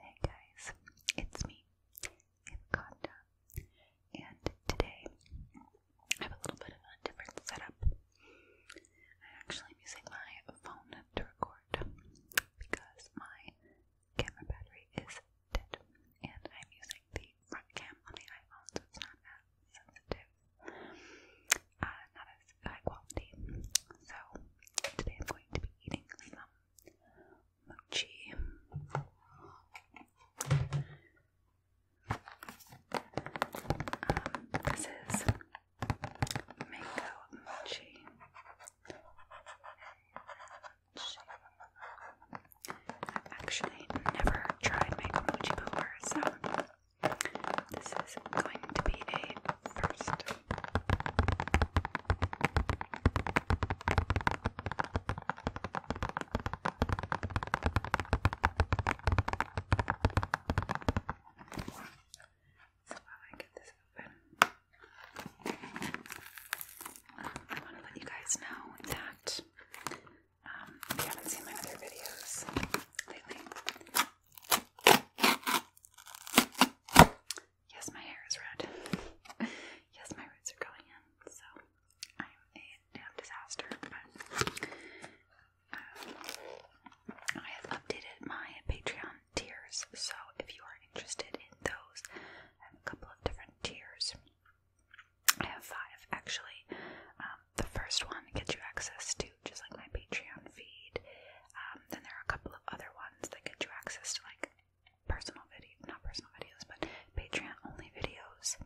Hey guys, it's me, Anaconda, and today I have a little bit of a different setup. I actually am using my phone to record because my camera battery is dead, and I'm using the front cam on the iPhone, so it's not as sensitive, uh, not high quality. So today I'm going to be eating some mochi. Um, this is mango mochi. I've actually never tried mango mochi before, so this is going to be a first so while I get this open, I want to let you guys know that um, if you haven't seen my other videos lately, Yes, my hair is red. yes, my roots are going in, so I'm a damn disaster, um, I have updated my Patreon tiers, so if you are interested in those, I a couple of different tiers. I have five actually. Um, the first one gets you access to just like my Patreon feed. Um, then there are a couple couple of other ones that get you access to like personal video, not personal videos, but Patreon only videos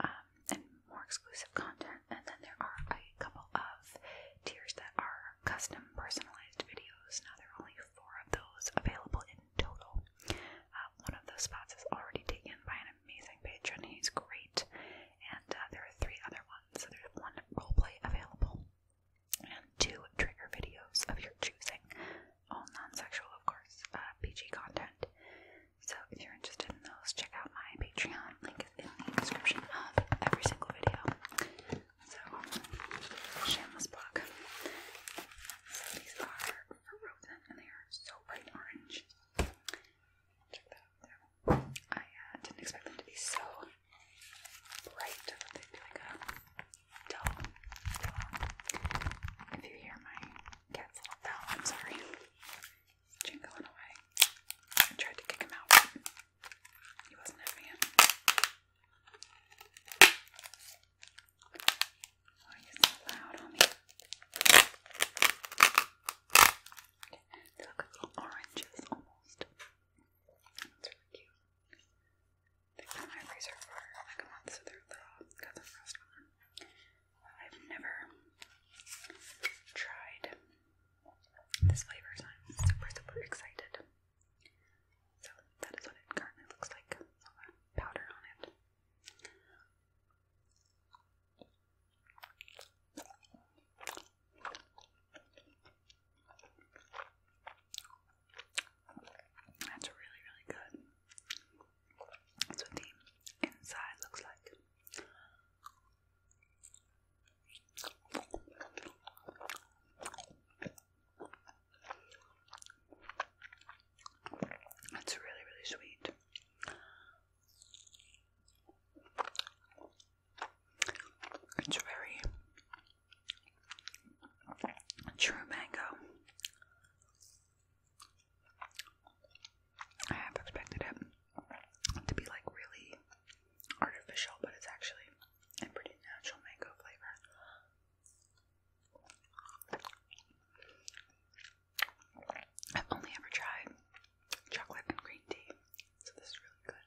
um, and more exclusive content. And then there are a couple of tiers that are custom personalized videos. Now there are only four of those available in total. Uh, one of those spots is already taken by an amazing patron. He's great, and uh, there are three other ones. So there's one roleplay available and two trigger videos of your choosing, all non-sexual, of course, uh, PG content. So if you're interested in those, check out my Patreon. Link is in the description of every single video. So shameless plug. these are frozen, and they are so bright orange. Check that out. There. I uh, didn't expect them to be so bright, maybe like a dull pillow. If you hear my cat's little bell, I'm sorry. Jingling away. I tried to kick him out, but he wasn't having Why are you so loud on me? look like little oranges almost. That's really cute. They've my freezer for like a month, so they're little. Got the frost I've never tried this flavor, so I'm super, super excited. So that is what it currently looks like. powder on it. That's really, really good. That's what the inside looks like. That's really, really sweet. It's very true mango. I have expected it to be like really artificial, but it's actually a pretty natural mango flavor. I've only ever tried chocolate and green tea, so this is really good.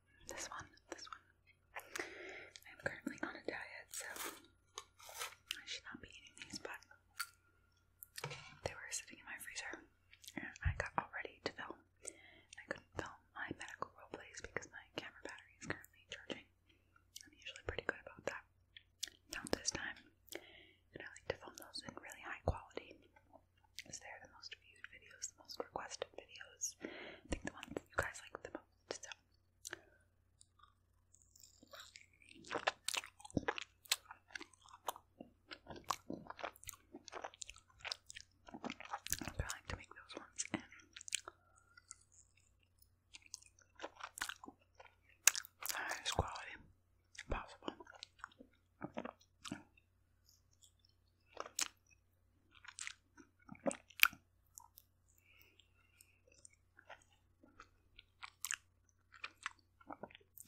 This one, this one. I'm currently on a diet, so I should not be eating these, but they were sitting in my freezer, and I got all ready to film. I couldn't film my medical role plays because my camera battery is currently charging. I'm usually pretty good about that. Not this time. And I like to film those in really high quality because they the most viewed videos, most requested videos. I think the ones you guys like the most. So. I'm trying to make those ones in. highest quality possible.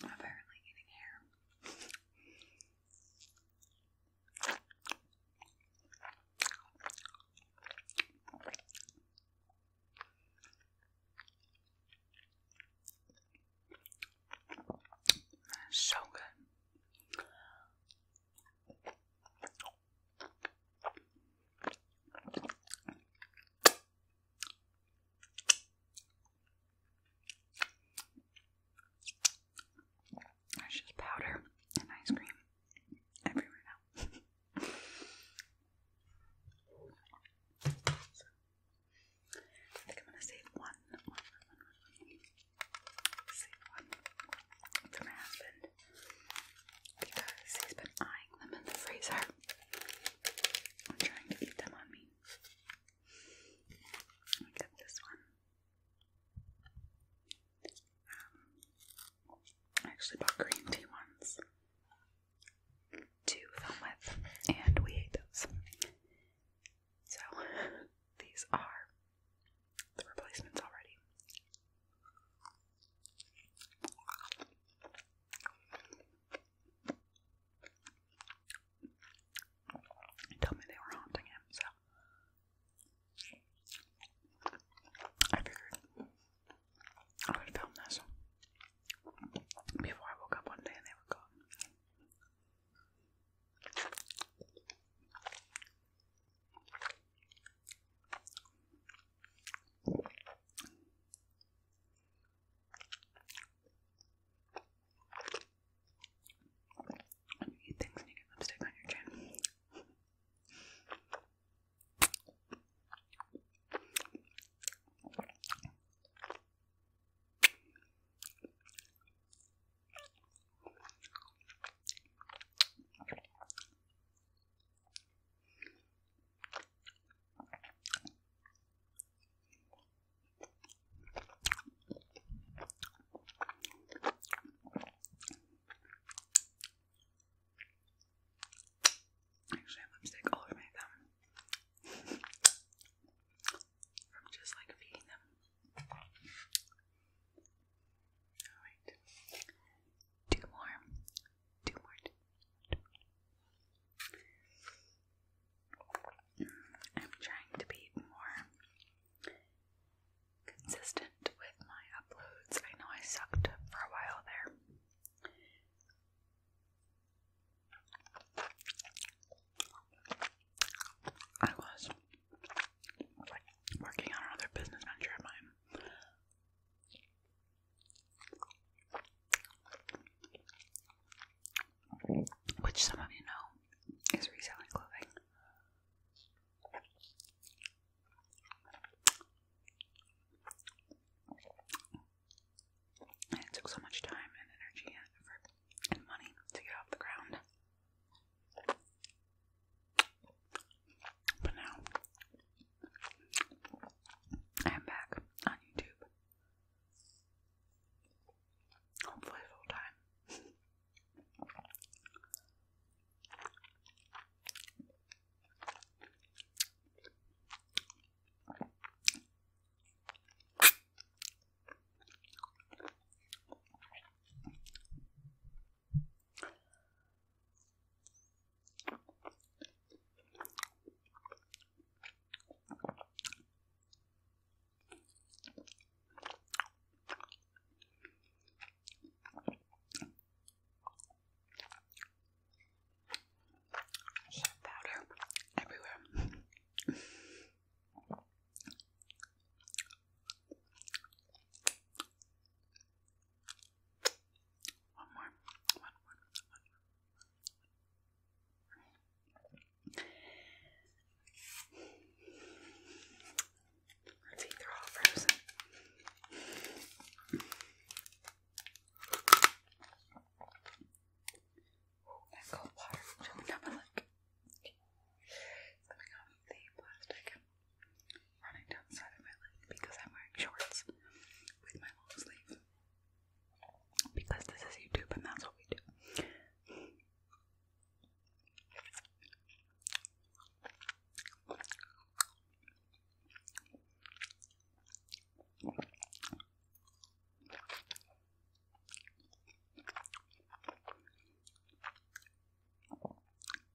Apparently eating hair. So good. There's just powder and ice cream everywhere now. I think I'm gonna save one save one to my because he's been eyeing them in the freezer and trying to eat them on me. I get this one. Um, I actually bought green tea ones to film with, and we ate those. So these are the replacements already. told me they were haunting him, so I figured I would film this before I woke up one day and they were gone. When you eat things you get lipstick on your chin. Actually, I have lipstick all over my thumb. From just like feeding them. Alright. Two more. Two more. I'm trying to be more consistent with my uploads. I know I sucked for a while there. I was working on another business venture of mine. Which some of you know is reselling clothing. it took so much time and energy and effort and money to get off the ground. But now I'm back on YouTube. Hopefully, full time. Shot powder everywhere. One more, one more, one more. Our teeth are all frozen. That cold water jumped up my leg. Coming off the plastic running down the side of my leg because I'm wearing shorts with my long sleeve. Because this is YouTube and that's what we do.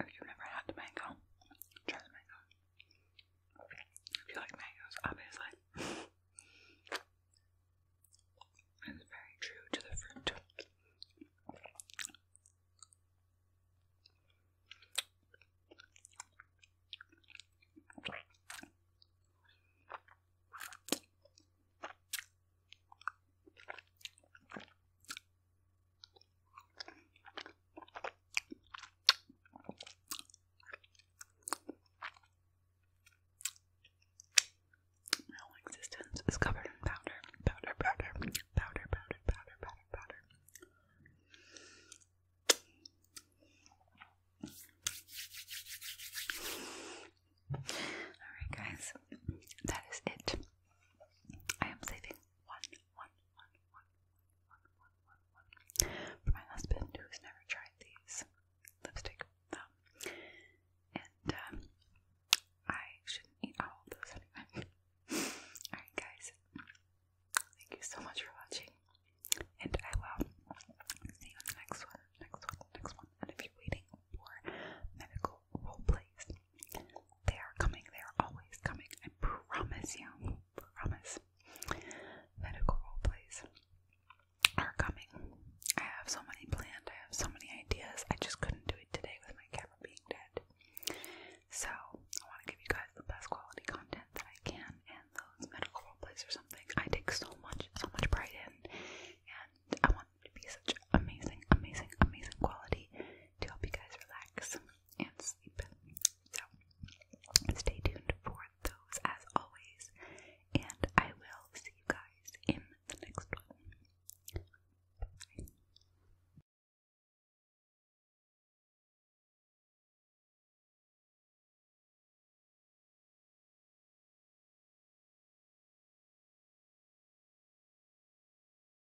If you've never had mango, try the mango. If you like mangoes, obviously. it's very true to the fruit. My whole existence is covered in powder, powder, powder, powder, powder, powder, powder, powder. Alright, guys, that is it. I am saving one, one, one, one, one, one, one, one. For my husband, who's never tried these lipstick, um, and um, I shouldn't eat all those anyway. Alright, guys, thank you so much for watching, and I will see you on the next one, next one, next one. And if you're waiting for medical cool whole They are coming, they are always coming. I promise you, promise. Medical role plays are coming. I have so many planned, I have so many ideas. I just couldn't do it today with my camera being dead. So, I want to give you guys the best quality content that I can, and those medical role plays or something I take so much, so much pride in, and I want it to be such amazing, amazing, amazing quality to help you guys relax and sleep. So stay tuned for those as always, and I will see you guys in the next one. Bye.